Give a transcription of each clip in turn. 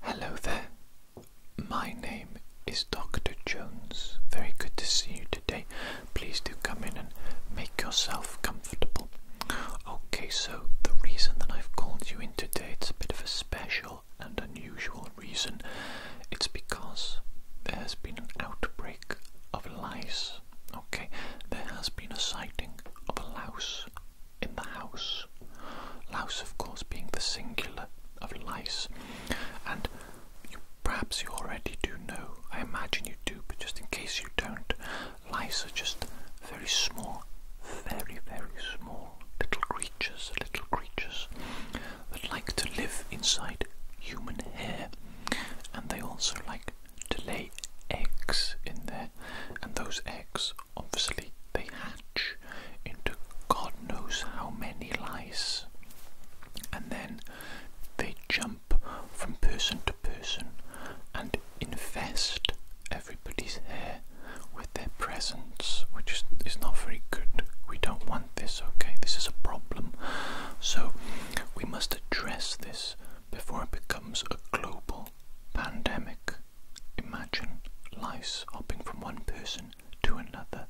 Hello there. My name is Dr. Jones. Very good to see you today. Please do come in and make yourself comfortable. Okay, so the reason that I've called you in today, it's a bit of a special and unusual reason. It's because there has been an outbreak of lice. Okay, there has been a sighting of a louse in the house. Louse, of course, being the singular of lice. And perhaps you already do know, I imagine you do, but just in case you don't, lice are just very small, very, very small little creatures, little creatures that like to live inside human hair. And they also like to lay eggs in there, and those eggs obviously they hatch into God knows how many lice, and then they jump from person to person and infest everybody's hair with their presence, which is not very good. We don't want this, okay? This is a problem. So we must address this before it becomes a global pandemic work. Imagine lice hopping from one person to another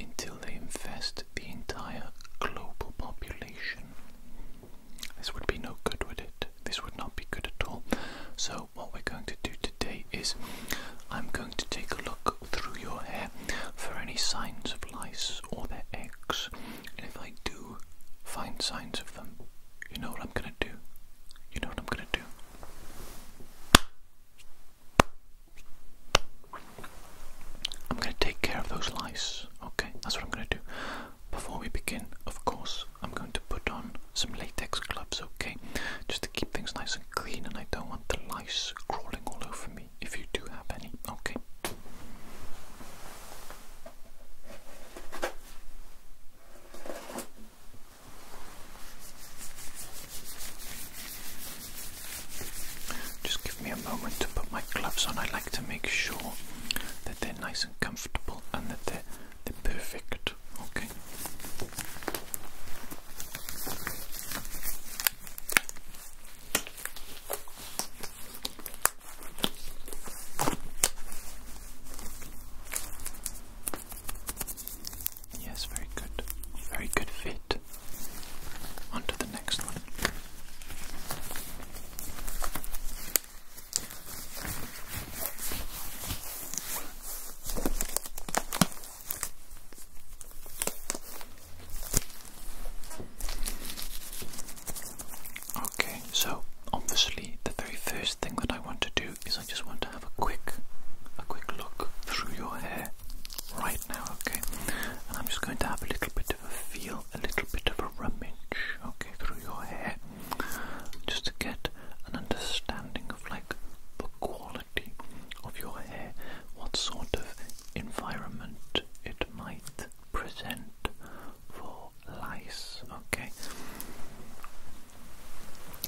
until they infest the entire global population. This would be no good, would it? This would not be good at all. So, what we're going to do today is I'm going to take a look through your hair for any signs of lice or their eggs. And if I do find signs of them, you know what I'm going to do? You know what I'm going to do? I'm going to take care of those lice. Okay, that's what I'm going to do. Before we begin, of course, I'm going to put on some latex gloves, okay? Just to keep things nice and clean, and I don't want the lice crawling all over me if you do have any, okay? Just give me a moment to put my gloves on. I like to make sure that they're nice and comfortable and that they're, perfect. Okay. Yes, very good. Very good fit. On to the next one. Okay, so obviously, the very first thing that I want to do is I just want to have a quick a quick look through your hair right now, okay? And I'm just going to have a little bit of a feel, a little bit of a rummage, okay, through your hair. Just to get an understanding of like the quality of your hair, what sort of environment it might present for lice, okay?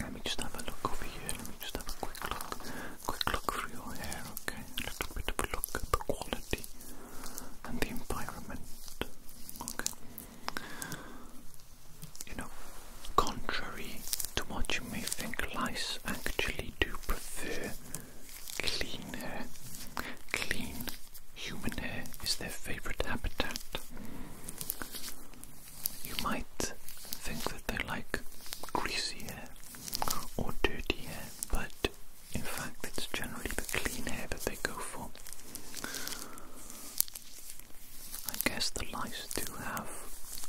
Let me just have a look over here. Let me just have a quick look. Quick look through your hair, okay? A little bit of a look at the quality and the environment, okay? You know, contrary to what you may think, lice actually do prefer clean hair. Clean human hair is their favourite habitat. You might think that they like greasy hair or dirty hair, but in fact, it's generally the clean hair that they go for. I guess the lice do have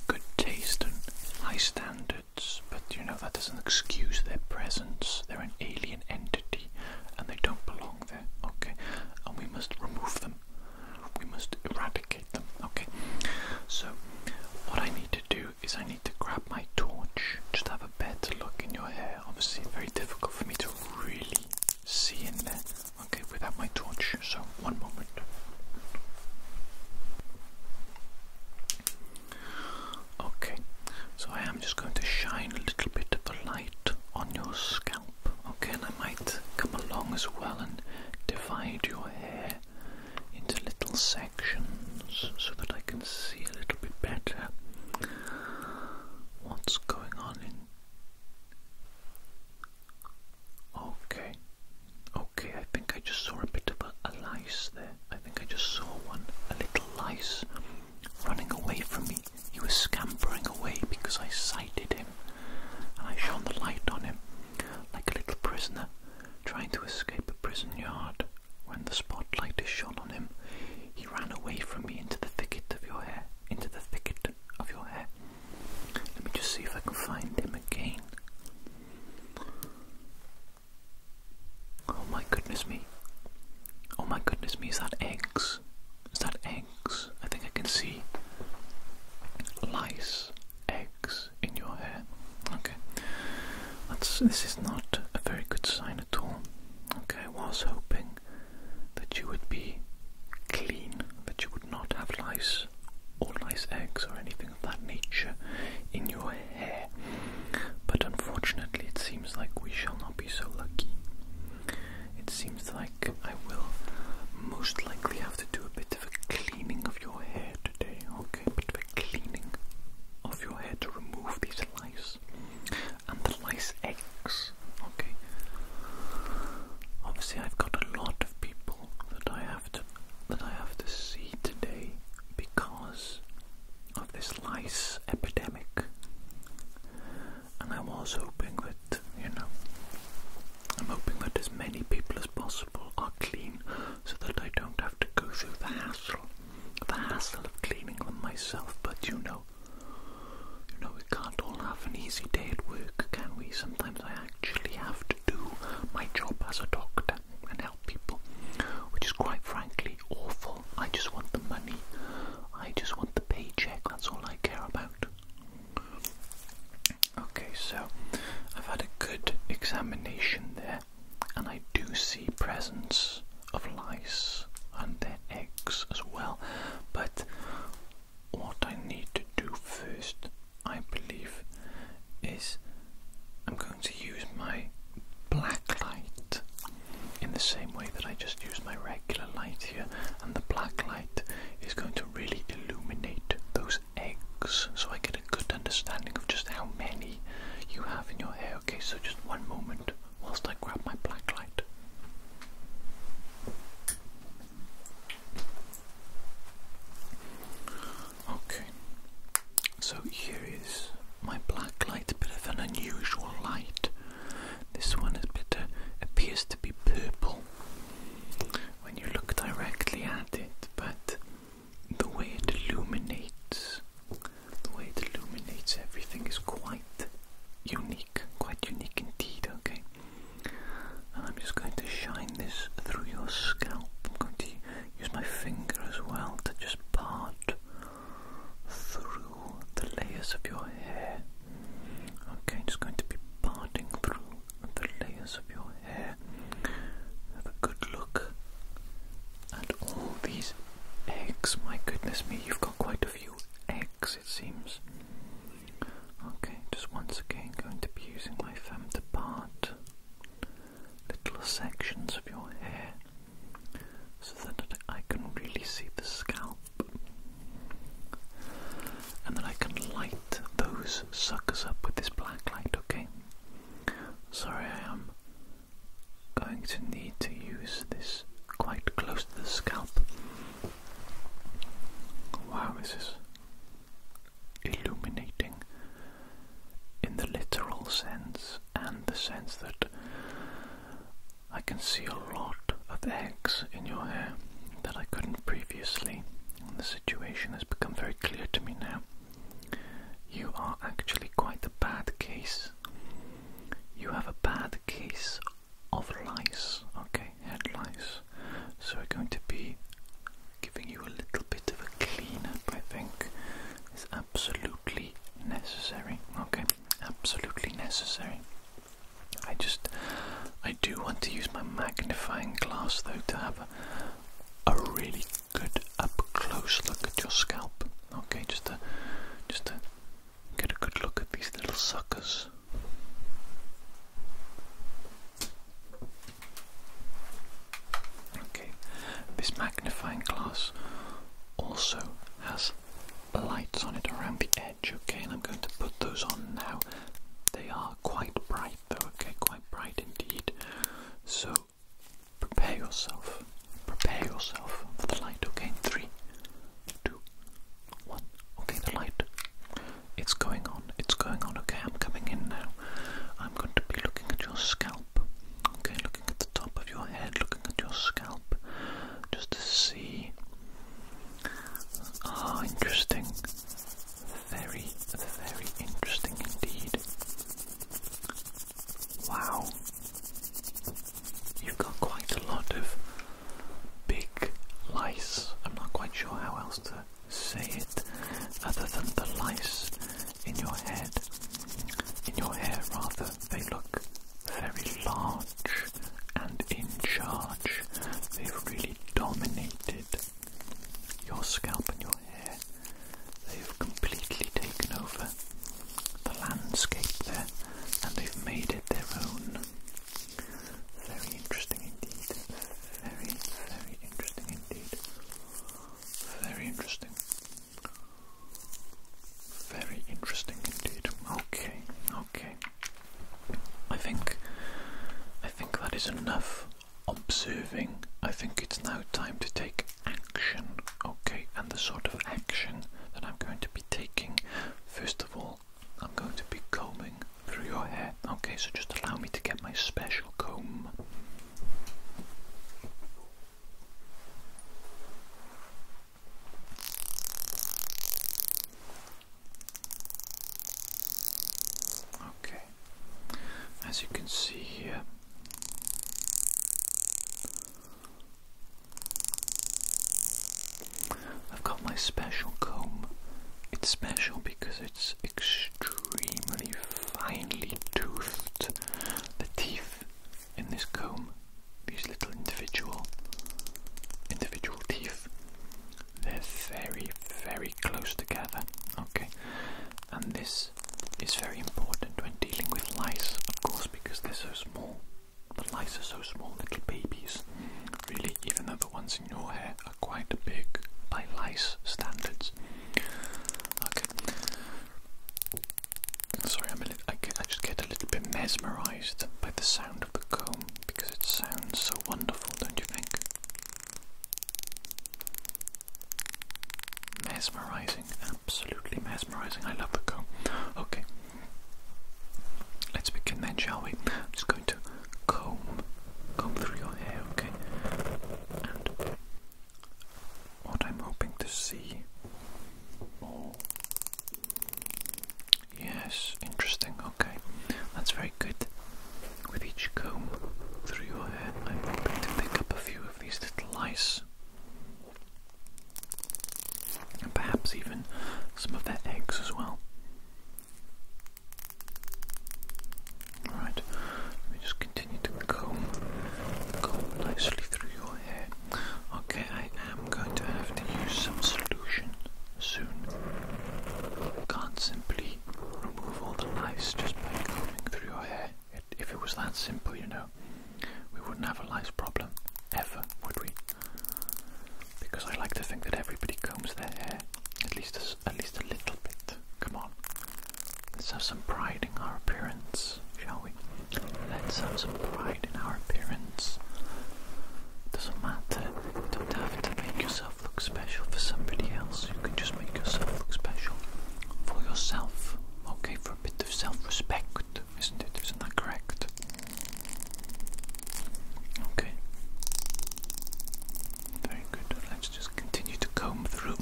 good taste and high standards, but you know, that doesn't excuse their presence. They're an alien entity and they don't belong there. Okay, and we must remove them. We must eradicate them. Okay, so what I need to do is I need to grab my torch. Just have a better look in your hair. Obviously, very difficult for me to really see in there. Okay, without my torch. So one moment. Okay, so I am just going to shine a little bit of a light on your scalp. Okay, and I might come along as well and divide your hair into little sections so that I can see a little bit better what's going on Okay, okay, I think I just saw a bit of a, a lice there. I think I just saw one, a little lice running away from me. He was scampering away because I sighted him and I shone the light on him like a little prisoner trying to escape a prison yard. When the spotlight is shone on him, he ran away from me into the thicket of your hair. Into the thicket of your hair. Let me just see if I can find him again. Oh my goodness me. Oh my goodness me, is that eggs? Is that eggs? I think I can see lice eggs in your hair. Okay, this is not a very good sign at all. Okay, I was hoping that you would be clean, that you would not have lice or lice eggs or anything of that nature in your hair. But unfortunately, it seems like we shall not be so lucky it seems like I will most likely have to do a bit of a cleaning of your hair today, okay? A bit of a cleaning of your hair to remove these lice and the lice eggs, okay? Obviously, I've got a lot of people that I have to that I have to see today because of this lice epidemic and I was hoping that, you know, I'm hoping that as many people as possible are clean so that I don't have to go through the hassle, the hassle of cleaning them myself, but you know, you know, we can't all have an easy day at work, can we? Sometimes I actually have to do my job as a doctor and help people, which is quite frankly awful. I just want the money, I just want the paycheck, that's all I care about. Okay, so I've had a good examination there, and I do see presence of lice and their eggs as well. But what I need to do first, I believe, is I'm going to use my black light in the same way that I just use my regular light here and the black light is going to really illuminate those eggs so I get a good understanding of just how many you have in your hair. Okay, so just one moment whilst I grab my black light. Okay, so here is my black light, a bit of an unusual light. This one is better, appears to be purple when you look directly at it, but the way it illuminates, the way it illuminates everything is quite unique, quite unique indeed, okay? And I'm just going to shine this through your scalp. I'm going to use my finger as well to just part through the layers of your hair. Okay, just going to be parting through the layers of your hair. Have a good look at all these eggs. My goodness me, you've got quite a few eggs, it seems. Okay, just once again, going to be using my thumb to part little sections of your hair so that I can really see the scalp and then I can light those suckers up with this black light, okay? Sorry, I am going to need to use this quite close to the scalp. Wow, this is illuminating in the literal sense and the sense that I can see a lot of eggs in your hair that I couldn't previously, the situation has become very clear to me now. You are actually quite a bad case. You have a bad case of lice, okay, head lice. So we're going to be giving you a little bit of a clean up, I think. It's absolutely necessary, okay? Absolutely necessary. I just, I do want to use my magnifying glass though to have a, a really good up close look at your scalp. Okay, just to, just to get a good look at these little suckers. Okay, this magnifying glass also has lights on it around the edge, okay, and I'm going to put those on now. They are quite bright though, okay, quite bright indeed. So prepare yourself, prepare yourself for the light, to okay? Three, two, one. Okay, the light. It's going on, it's going on, okay? I'm coming in now. I'm going to be looking at your scalp, okay? Looking at the top of your head, looking at your scalp just to see. Ah, interesting. Very, very interesting indeed. Wow. You've got quite a lot of big lice. I'm not quite sure how else to say it other than the lice in your head. In your hair, rather. They look very large and in charge. They've really dominated your scalp and your hair. They've completely taken over the landscape there and they've made it their own. Very interesting indeed. Very, very interesting indeed. Very interesting. Very interesting indeed. Okay, okay. I think I think that is enough observing. I think it's now time to take action. Okay, and the sort of action that I'm going to be taking, first of all, I'm going to be combing through your hair. Okay, so just allow me to get my special comb. Okay, as you can see here, I've got my special comb. It's special because it's extremely finely toothed. The teeth in this comb, these little individual individual teeth, they're very, very close together. Okay, and this is very important when dealing with lice, of course, because they're so small. The lice are so small, little babies. Really, even though the ones in your hair are quite big by lice standards. Okay. Sorry, I'm a li I, just get a little bit mesmerised by the sound of the comb because it sounds so wonderful, don't you think? Mesmerising, absolutely mesmerising. I love the comb. Okay, let's begin then, shall we? I'm just going to comb, comb through your hair, okay? And what I'm hoping to see, or Yes, interesting. Okay, that's very good. With each comb through your hair, I'm hoping to pick up a few of these little lice. And perhaps even some of their eggs as well. Alright, let me just continue to comb, comb nicely through your hair. Okay, i am going to have to use some solution soon. Can't simply remove all the lice just by combing through your hair. if it was that simple, you know, we wouldn't have a lice problem ever, would we? Because I like to think that everybody combs their hair at least at least a little bit. Come on, let's have some pride in our appearance shall we? Let's have some pride in our appearance. Doesn't matter. don't have to make yourself look special for somebody else. You can just make yourself special for yourself. Okay, for a bit of self-respect, isn't it? Isn't that correct? Okay. Very good. Let's just continue to comb through.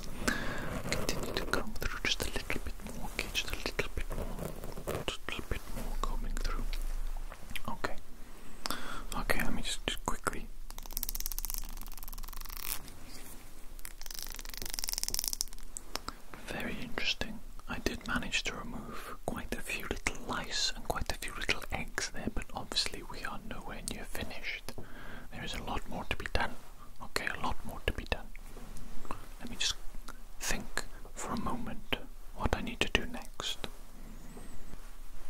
Continue to comb through just a little bit more, okay, just a little bit more. Just a bit more coming through. Okay. Okay, let me just, just quickly. Very interesting. I did manage to remove quite a few little lice and quite a few little eggs there, but obviously we are nowhere near finished. There is a lot more to be done. Okay, a lot more to be done. Let me just think for a moment what I need to do next.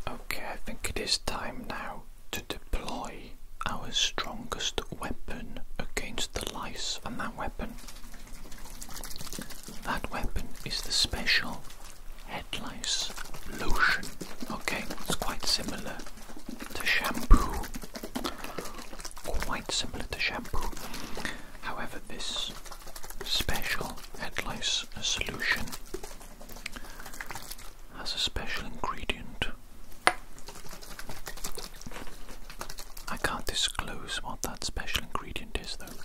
Okay, I think it is time now to deploy our strongest weapon against the lice, and that weapon. That weapon is the special head lice lotion. Okay, it's quite similar to shampoo quite similar to shampoo. However, this special head lice solution has a special ingredient. I can't disclose what that special ingredient is though.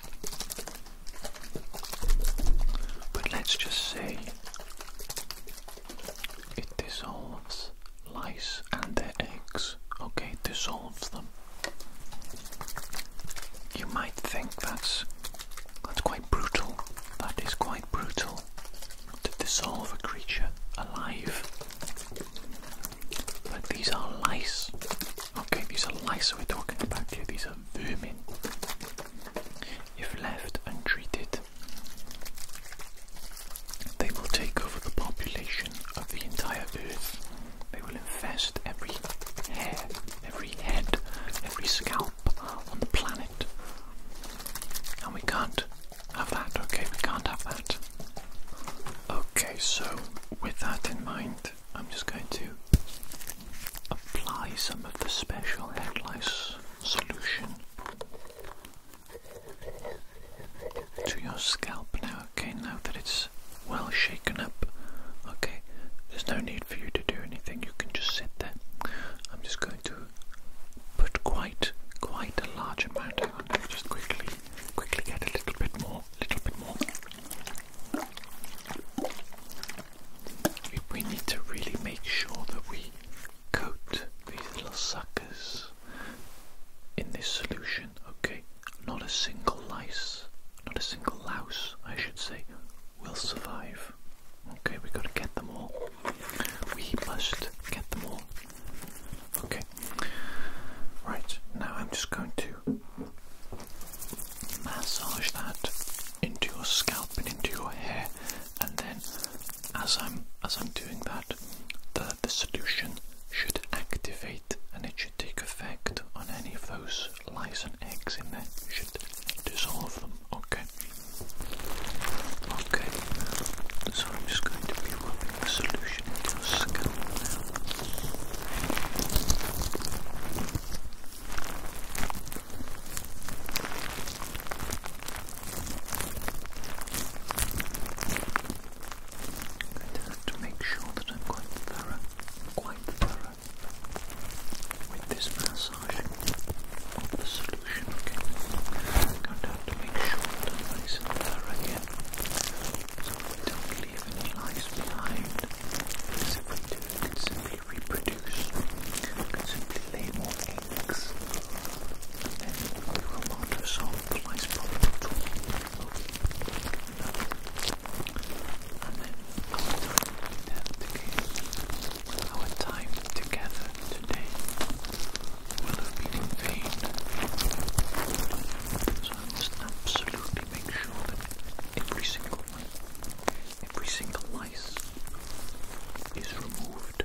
But let's just say it dissolves lice and their eggs. Okay, dissolves them. You might think that's that's quite brutal. That is quite brutal to dissolve a creature alive. But these are lice. Okay, these are lice we're talking about here. These are vermin. If left untreated, they will take over the population of the entire earth. They will infest every hair, every head, every scalp on the planet. And we can't have that, okay? We can't have that. Okay, so with that in mind, I'm just going to apply some of the special hair lice solution to your scalp now, okay, now that it's well shaken up, okay, there's no need for you to do anything, you can just sit there. I'm just going to put quite, quite a large amount, hang on, just quickly, quickly get a little bit more, little bit more. we need to really make sure that we coat these little suckers in this solution, okay? Not a single lice, not a single louse, I should say, will survive. Okay, we gotta get them all. We must get them all. Okay. Right, now I'm just going to massage that into your scalp and into your hair and then as I'm as I'm doing that the the solution should activate and it should take effect on any of those lice and eggs in there. should dissolve them, okay? Okay, so I'm just going to be rubbing the solution into your scalp now. I just have to make sure that I'm quite thorough, quite thorough with this massage of the solution, okay? I'm going to have to make sure that I'm nice and thorough here so we don't leave any lies behind because if we do, we can simply reproduce, we can simply lay more Thanks. And we will not solve my problem at all. our time together, today will have been in vain. So I must absolutely make sure that every single one, every single lice is removed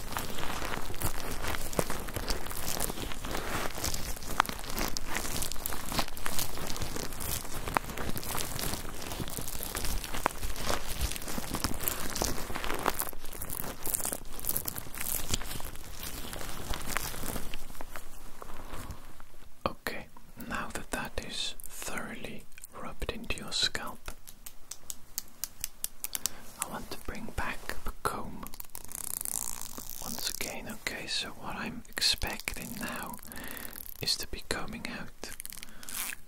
Okay, now that that is thoroughly rubbed into your scalp, I want to bring back the comb once again. Okay, so what I'm expecting now is to be coming out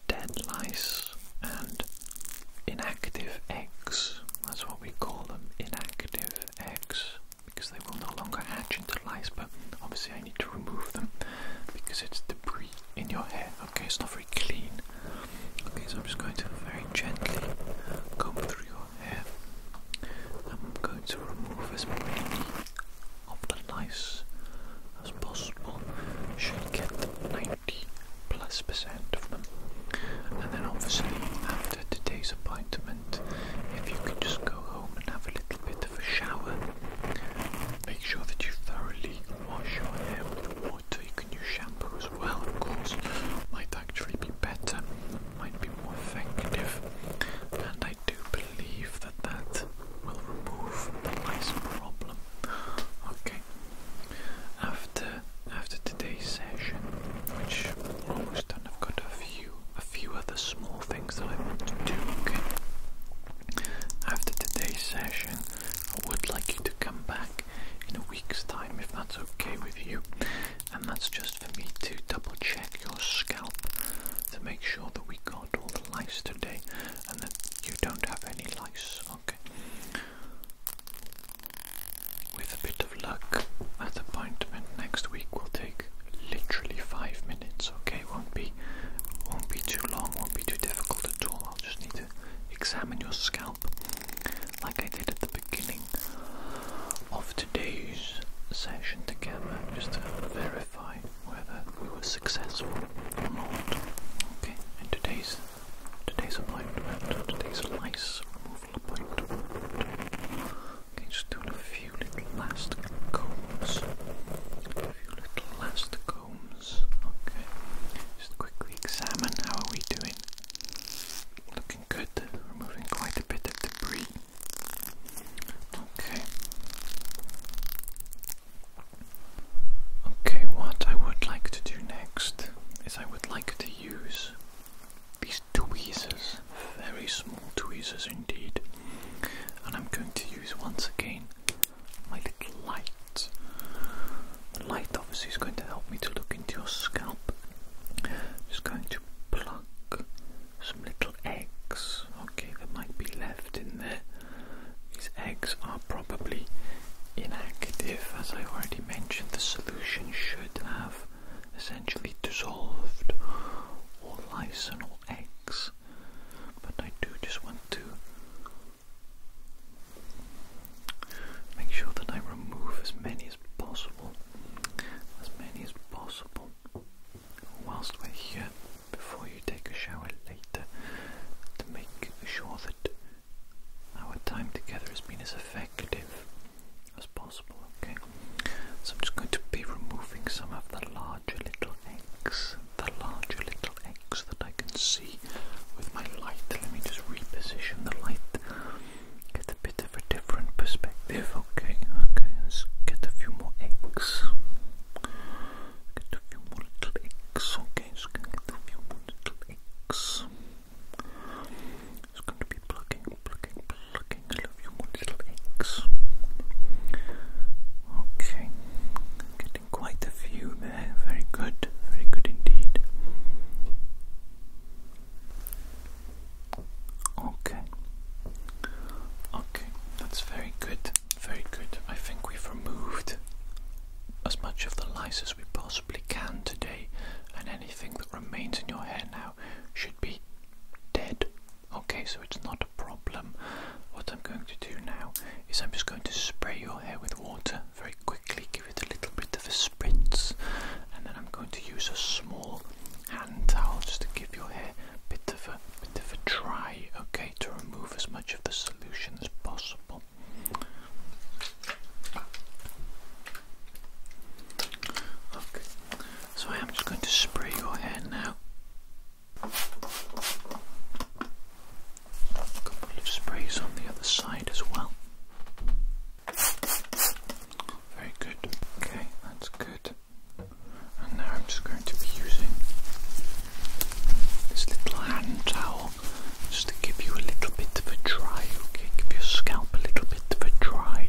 dead lice and inactive eggs. That's what we call them inactive eggs because they will no longer hatch into lice, but obviously I need to remove them because it's debris in your hair. Okay, it's not very clean. Okay, so I'm just going to very gently comb through your hair. I'm going to remove as many of the lice as possible. Should get the 90 plus percent of them. And then obviously after today's appointment, if you can just go home and have a little bit of a shower. Make sure that you thoroughly wash your hair with water. You can shampoo as well, of course. Might actually be better, might be more effective, and I do believe that that will remove the mice problem. Okay. After after today's session, which almost done, I've got a few a few other small things that I want to do. Okay. After today's session, I would like you to come back in a week's time if that's okay with you. And that's just for me to double check your scalp to make sure that we got all the lice today and that you don't have any lice, okay? With a bit of luck, that appointment next week will take literally five minutes, okay? Won't be won't be too long, won't be too difficult at all. I'll just need to examine your scalp like I did at the beginning of today's session together just to verify whether we were successful or not. Okay, and today's today's appointment, today's lice removal appointment. Okay, just doing a few little last combs. A few little last combs. Okay, just quickly examine how are we doing. Looking good, removing quite a bit of debris. Okay. Okay, what I would like to do next is I would like to use these tweezers, very small tweezers indeed, and I'm going to use once again my little light. The light obviously is going to help me to look into your scalp. I'm just going to plug some little eggs, okay, that might be left in there. These eggs are probably inactive, as I already mentioned. The solution should have essentially dissolved all lysinol eggs, but I do just want to Make sure that I remove as many as possible, as many as possible, whilst we're here before you take a shower later to make sure that our time together has been as effective as possible. Okay, so I'm just going to be removing some of the larger little eggs the larger little X that I can see with my light. Let me just reposition the light. Get a bit of a different perspective. Okay, okay, let's get a few more X. Get a few more little X. Okay, so can get a few more little X. It's going to be plugging, plugging, plugging a few more little X. Okay, get quite a few Very good, very good indeed. Okay. Okay, that's very good, very good. I think we've removed as much of the lice as we possibly can today, and anything that remains in your hair now should be dead. Okay, so it's not a problem. What I'm going to do now is I'm just going to spray your hair with water very quickly, give it a little bit of a spritz, and then I'm going to use a small hand towel just to give your hair a bit of a bit of a dry, okay, to remove as much of the solution as possible. Okay, so I am just going to spray your hair now a couple of sprays on the other side as well. Very good. Okay, that's good. And now I'm just going to be using this little hand towel just to give you a little bit of a dry, okay? Give your scalp a little bit of a dry.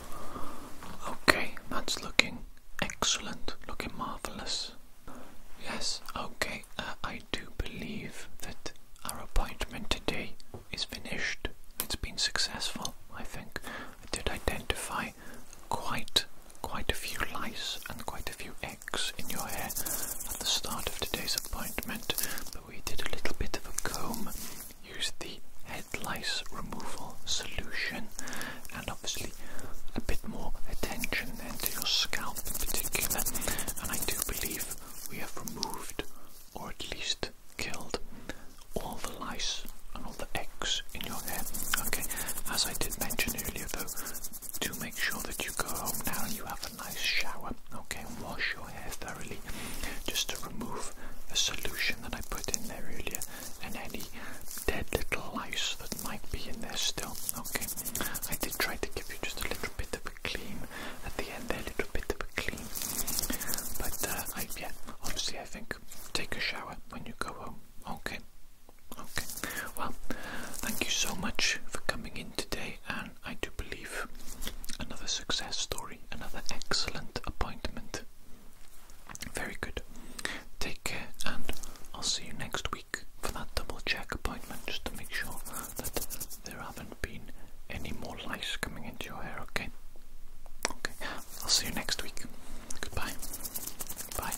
Okay, that's looking excellent, looking marvelous. Yes, okay, uh, I do believe that our appointment today is finished. It's been successful, I think. I did identify quite quite a few lice and quite a few eggs in your hair at the start of today's appointment, but we did a little bit of a comb use the head lice removal solution and obviously a bit more attention then to your scalp in particular and I do believe we have removed or at least killed all the lice and all the eggs in your hair. Okay, as I did mention earlier though, do make sure that you go home now and you have a nice shower, okay, wash wash your hair thoroughly just to remove the solution that I put in there earlier and any dead little lice that might be in there still. Okay, I did try to give you just a little bit of a clean at the end there, a little bit of a clean. But uh, I, yeah, obviously I think take a shower when you go home. Okay, okay. Well, thank you so much for coming in today, and I do believe Another success story, another excellent appointment. Very good. Take care, and I'll see you next week for that double check appointment just to make sure that there haven't been any more lice coming into your hair, okay? Okay, I'll see you next week. Goodbye. Bye.